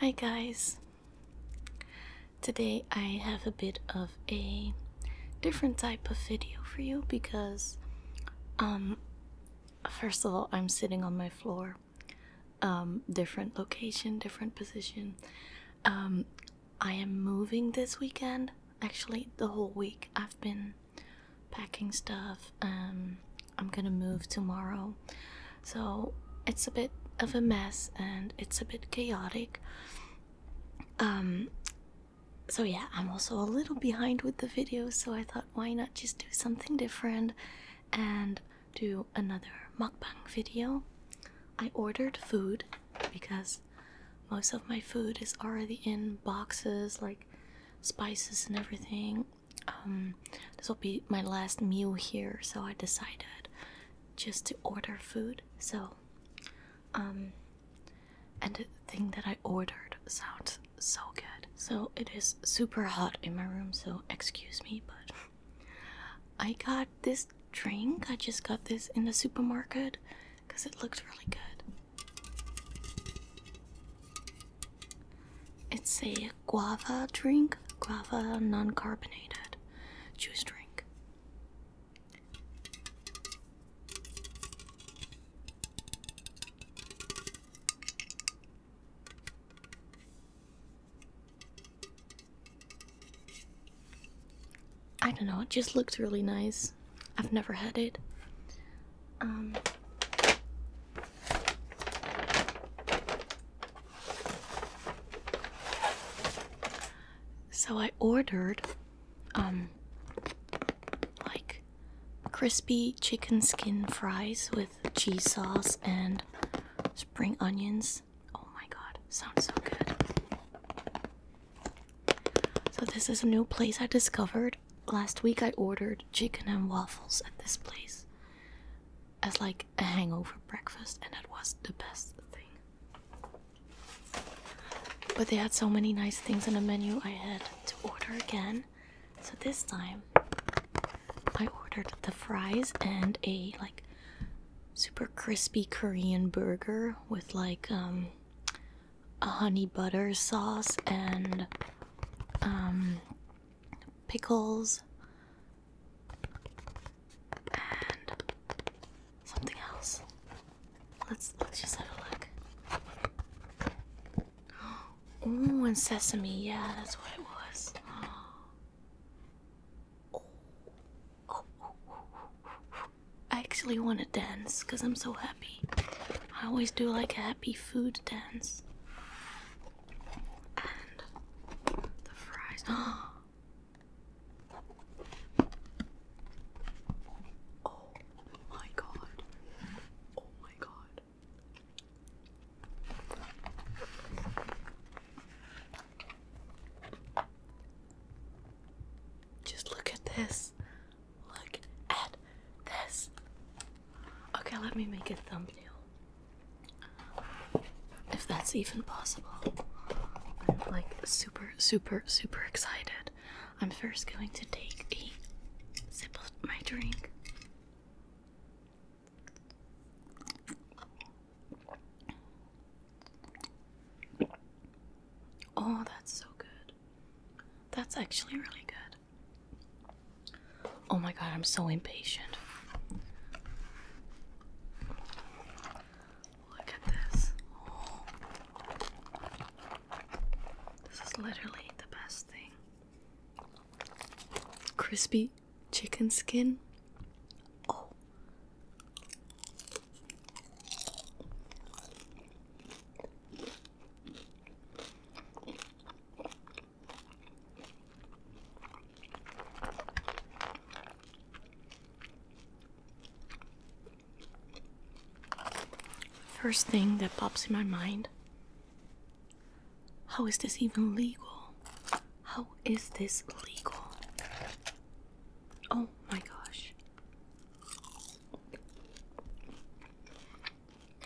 Hi guys! Today I have a bit of a different type of video for you because, um, first of all, I'm sitting on my floor, um, different location, different position. Um, I am moving this weekend. Actually, the whole week I've been packing stuff, um, I'm gonna move tomorrow. So it's a bit of a mess and it's a bit chaotic. Um, so yeah, I'm also a little behind with the videos, so I thought why not just do something different and do another mukbang video. I ordered food because most of my food is already in boxes like spices and everything um, this will be my last meal here, so I decided just to order food. So, um, and the thing that I ordered sounds so good. So, it is super hot in my room, so excuse me, but I got this drink. I just got this in the supermarket because it looks really good. It's a guava drink, guava non carbonated juice drink. I don't know, it just looks really nice. I've never had it. Um, so I ordered um like crispy chicken skin fries with cheese sauce and spring onions. Oh my god, sounds so good. So this is a new place I discovered last week I ordered chicken and waffles at this place as like a hangover breakfast, and it was the best thing. But they had so many nice things on the menu, I had to order again. So this time I ordered the fries and a like super crispy Korean burger with like um a honey butter sauce and um pickles, and something else. Let's let's just have a look. Oh, and sesame. Yeah, that's what it was. Oh. Oh, I actually want to dance because I'm so happy. I always do like a happy food dance. oh my god. Oh my god. Just look at this. Look at this. Okay, let me make a thumbnail. If that's even possible. I'm like super, super, super excited. I'm first going to take a sip of my drink. Oh, that's so good. That's actually really good. Oh my god, I'm so impatient. Look at this. This is literally the best thing. Crispy chicken skin. Oh. First thing that pops in my mind how is this even legal? How is this legal? Oh my gosh.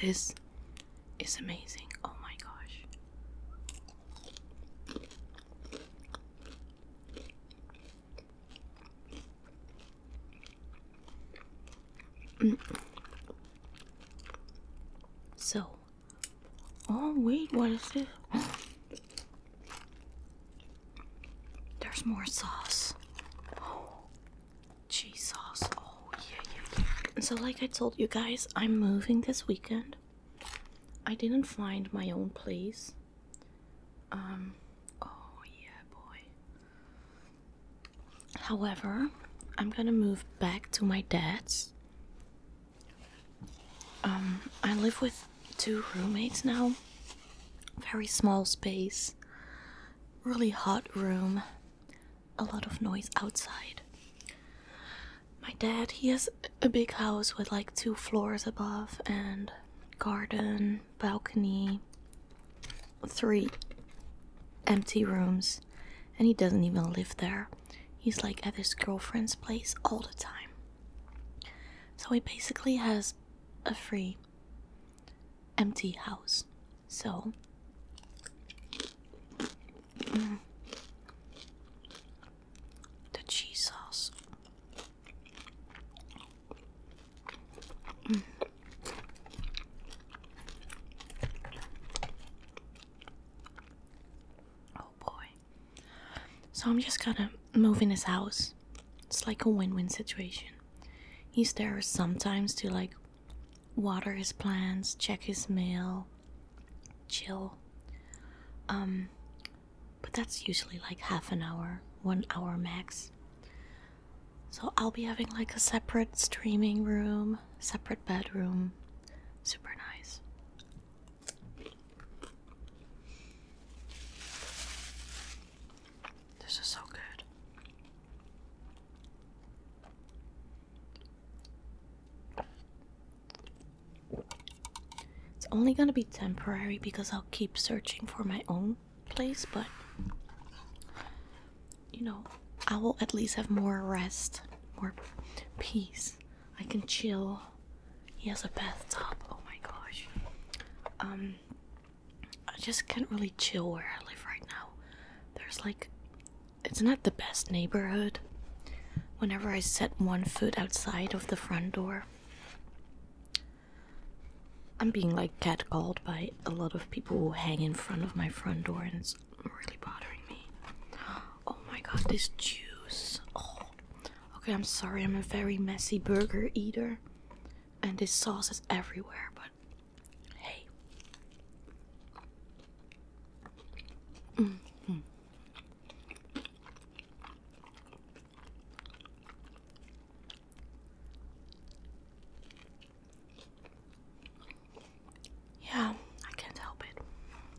This is amazing. Oh my gosh. Mm. So, oh wait, what is this? There's more sauce. cheese sauce. Oh, yeah, yeah, so, like I told you guys, I'm moving this weekend. I didn't find my own place. Um, oh, yeah, boy. However, I'm gonna move back to my dad's. Um, I live with two roommates now. Very small space, really hot room, a lot of noise outside. My dad, he has a big house with like two floors above and garden, balcony, three empty rooms, and he doesn't even live there. He's like at his girlfriend's place all the time. So he basically has a free empty house. So mm, the cheese sauce. Mm. Oh boy. So I'm just gonna move in his house. It's like a win win situation. He's there sometimes to like water his plants, check his mail, chill. Um, but that's usually like half an hour, one hour max. So I'll be having like a separate streaming room, separate bedroom. Super nice. This is so good. It's only going to be temporary because I'll keep searching for my own place, but you know, I will at least have more rest, more peace I can chill. He has a bathtub. Oh my gosh. Um, I just can't really chill where I live right now. There's like, it's not the best neighborhood. Whenever I set one foot outside of the front door, I'm being like catcalled by a lot of people who hang in front of my front door, and it's really bothering me. Oh my god, this juice. Oh. Okay, I'm sorry, I'm a very messy burger eater, and this sauce is everywhere, but hey. Mm-hmm. Yeah, I can't help it.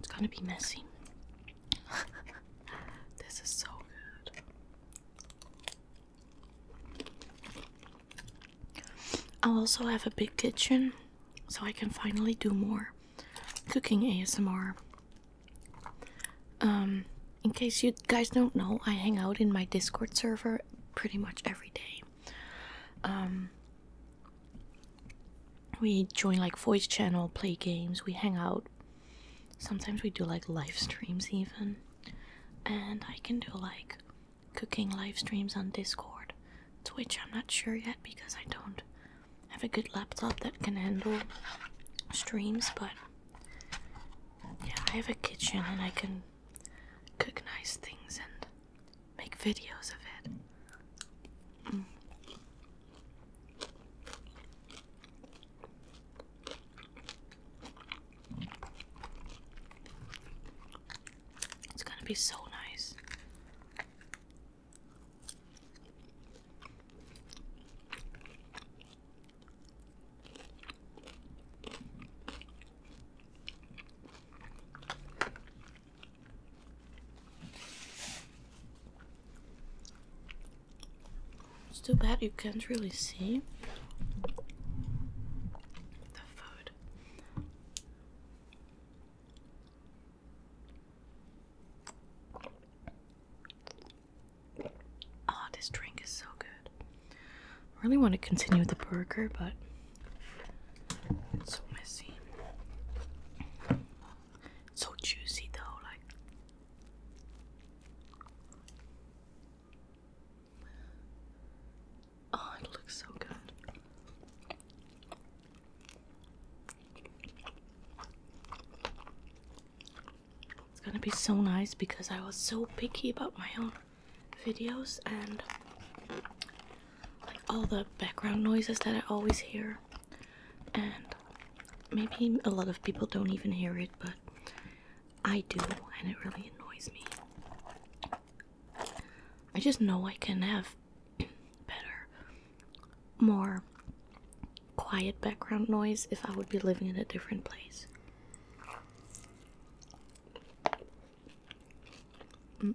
It's gonna be messy. this is so good. I'll also have a big kitchen so I can finally do more cooking ASMR. Um, in case you guys don't know, I hang out in my Discord server pretty much every day. Um, we join like voice channel, play games, we hang out. Sometimes we do like live streams even. And I can do like cooking live streams on Discord. Twitch, I'm not sure yet because I don't have a good laptop that can handle streams, but yeah, I have a kitchen and I can cook nice things and make videos of it. Mm. It's gonna be so nice. It's too bad you can't really see the food. Oh, this drink is so good. I really want to continue with the burger, but it's so messy. So juicy though, like Oh, it looks so good. It's gonna be so nice because I was so picky about my own videos and like all the background noises that I always hear and maybe a lot of people don't even hear it, but I do, and it really annoys me. I just know I can have better, more quiet background noise if I would be living in a different place. Mm.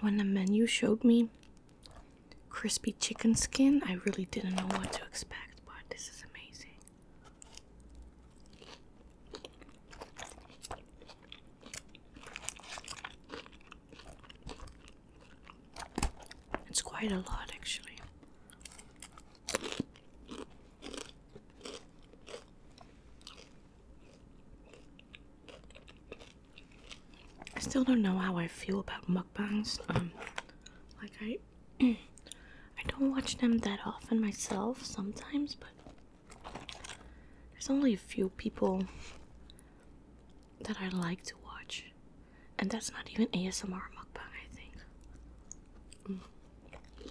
When the menu showed me crispy chicken skin, I really didn't know what to expect, but this is amazing. It's quite a lot, actually. I still don't know how I feel about mukbangs. Um, like I, I don't watch them that often myself. Sometimes, but there's only a few people that I like to watch, and that's not even ASMR mukbang. I think. Mm.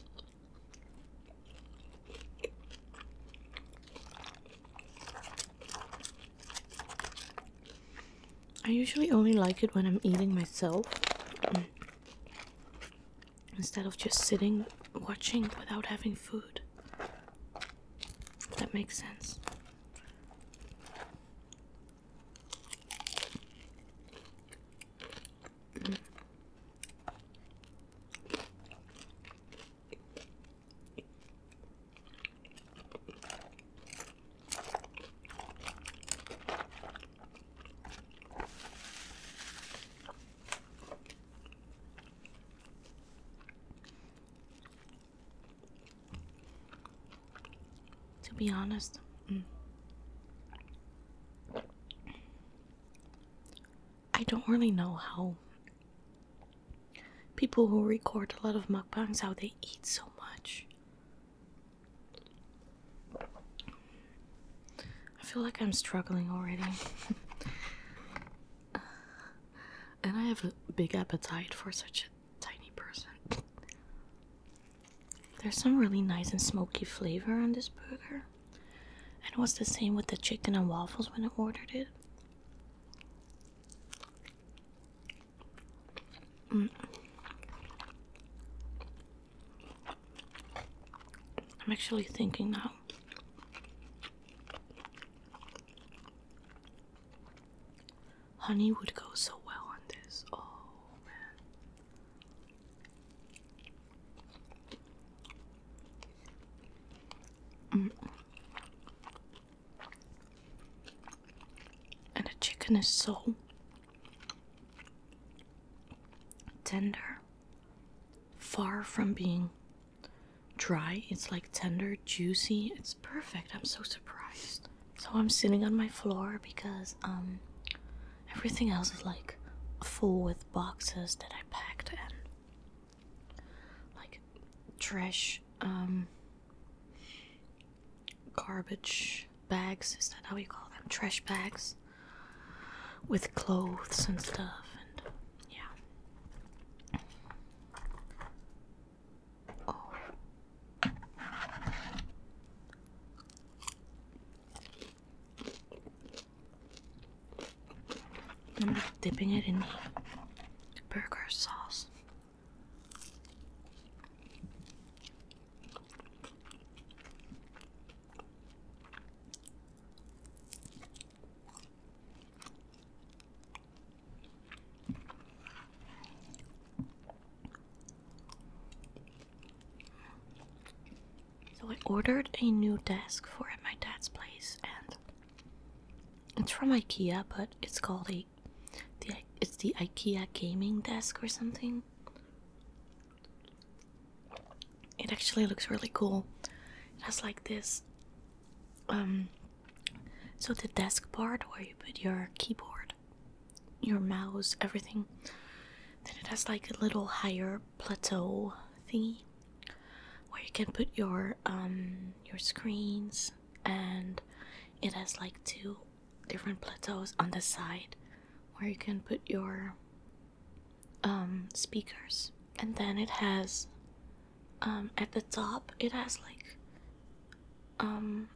I usually only like it when I'm eating myself mm, instead of just sitting watching without having food. that makes sense. To be honest, mm. I don't really know how people who record a lot of mukbangs how they eat so much. I feel like I'm struggling already. and I have a big appetite for such a tiny person. There's some really nice and smoky flavor on this burger. And it was the same with the chicken and waffles when I ordered it. Mm. I'm actually thinking now. Honey would go so well on this. Oh man. Mm. And the chicken is so tender, far from being dry. It's like tender, juicy. It's perfect. I'm so surprised. So I'm sitting on my floor because um Everything else is like full with boxes that I packed and like trash, um, garbage bags. Is that how you call them? Trash bags with clothes and stuff. And yeah. Oh. I'm dipping it in burger sauce. So I ordered a new desk for at my dad's place, and it's from IKEA, but it's called a the it's the IKEA gaming desk or something. It actually looks really cool. It has like this um so the desk part where you put your keyboard, your mouse, everything then it has like a little higher plateau thingy where you can put your um your screens and it has like two different plateaus on the side where you can put your um speakers and then it has um at the top it has like um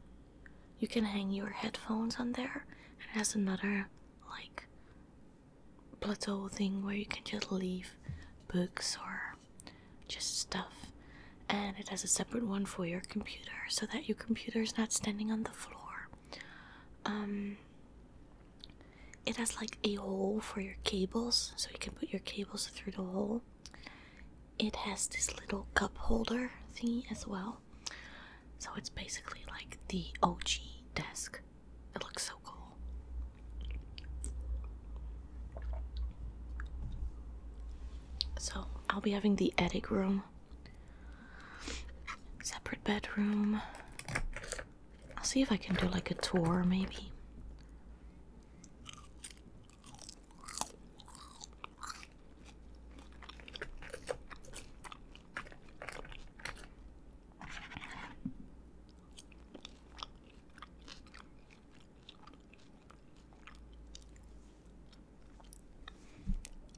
you can hang your headphones on there and it has another like plateau thing where you can just leave books or just stuff and it has a separate one for your computer so that your computer is not standing on the floor um it has like a hole for your cables so you can put your cables through the hole it has this little cup holder thingy as well so it's basically like the OG desk. It looks so cool. So I'll be having the attic room, separate bedroom. I'll see if I can do like a tour maybe.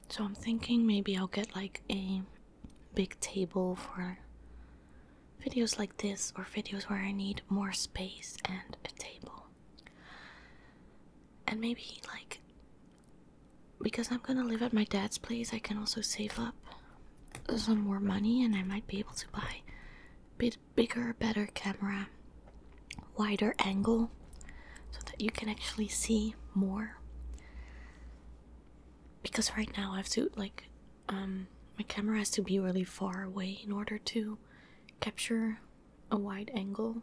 So I'm thinking maybe I'll get like a big table for videos like this or videos where I need more space and a table. And maybe like because I'm gonna live at my dad's place, I can also save up some more money and I might be able to buy a bigger, better camera, wider angle, so that you can actually see more. Because right now I have to, like, um, my camera has to be really far away in order to capture a wide angle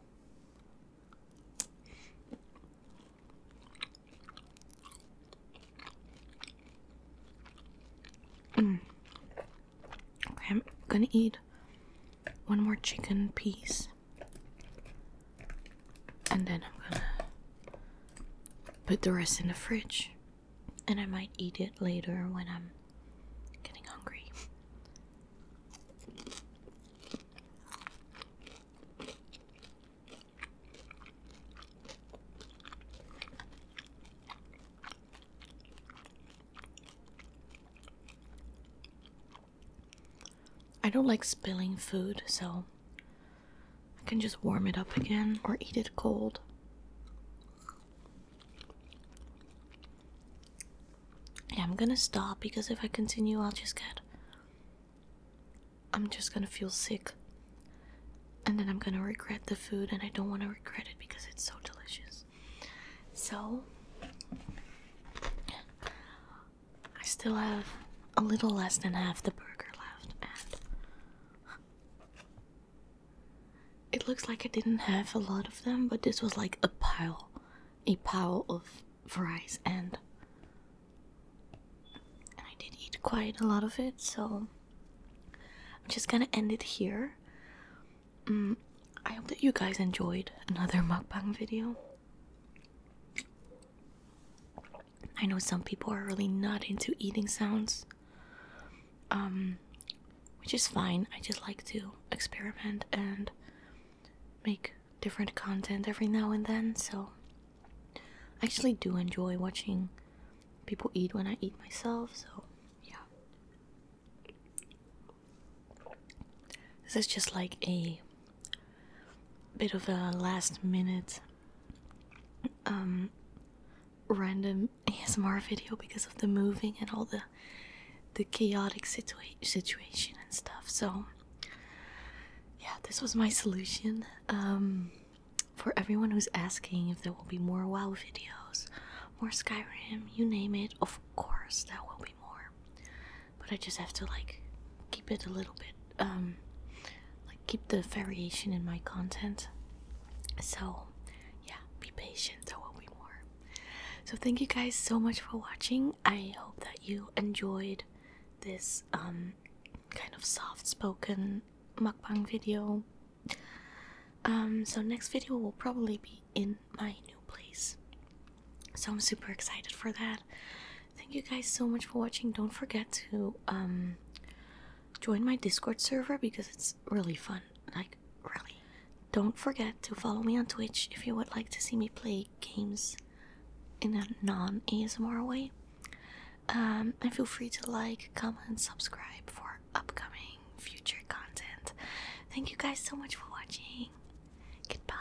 Mm. I'm gonna eat one more chicken piece and then I'm gonna put the rest in the fridge and I might eat it later when I'm getting hungry. I don't like spilling food, so I can just warm it up again or eat it cold. I'm gonna stop because if I continue, I'll just get I'm just gonna feel sick. And then I'm gonna regret the food, and I don't wanna regret it because it's so delicious. So, I still have a little less than half the burger left, and it looks like I didn't have a lot of them, but this was like a pile. A pile of fries and and I did eat quite a lot of it, so I'm just gonna end it here. Mm, I hope that you guys enjoyed another mukbang video. I know some people are really not into eating sounds, um, which is fine. I just like to experiment and make different content every now and then, so I actually do enjoy watching people eat when I eat myself, so yeah. This is just like a bit of a last minute um random ASMR video because of the moving and all the the chaotic situa situation and stuff. So yeah, this was my solution um, for everyone who's asking if there will be more WoW videos, more Skyrim, you name it. Of course, there will be more, but I just have to like keep it a little bit, um, like keep the variation in my content. So, yeah, be patient. There will be more. So, thank you guys so much for watching. I hope that you enjoyed this um, kind of soft spoken mukbang video. Um, so, next video will probably be in my new place. So, I'm super excited for that. Thank you guys so much for watching. Don't forget to um, join my Discord server because it's really fun. Like, really. Don't forget to follow me on Twitch if you would like to see me play games in a non ASMR way. Um, and feel free to like, comment, subscribe for upcoming future content. Thank you guys so much for watching. Goodbye.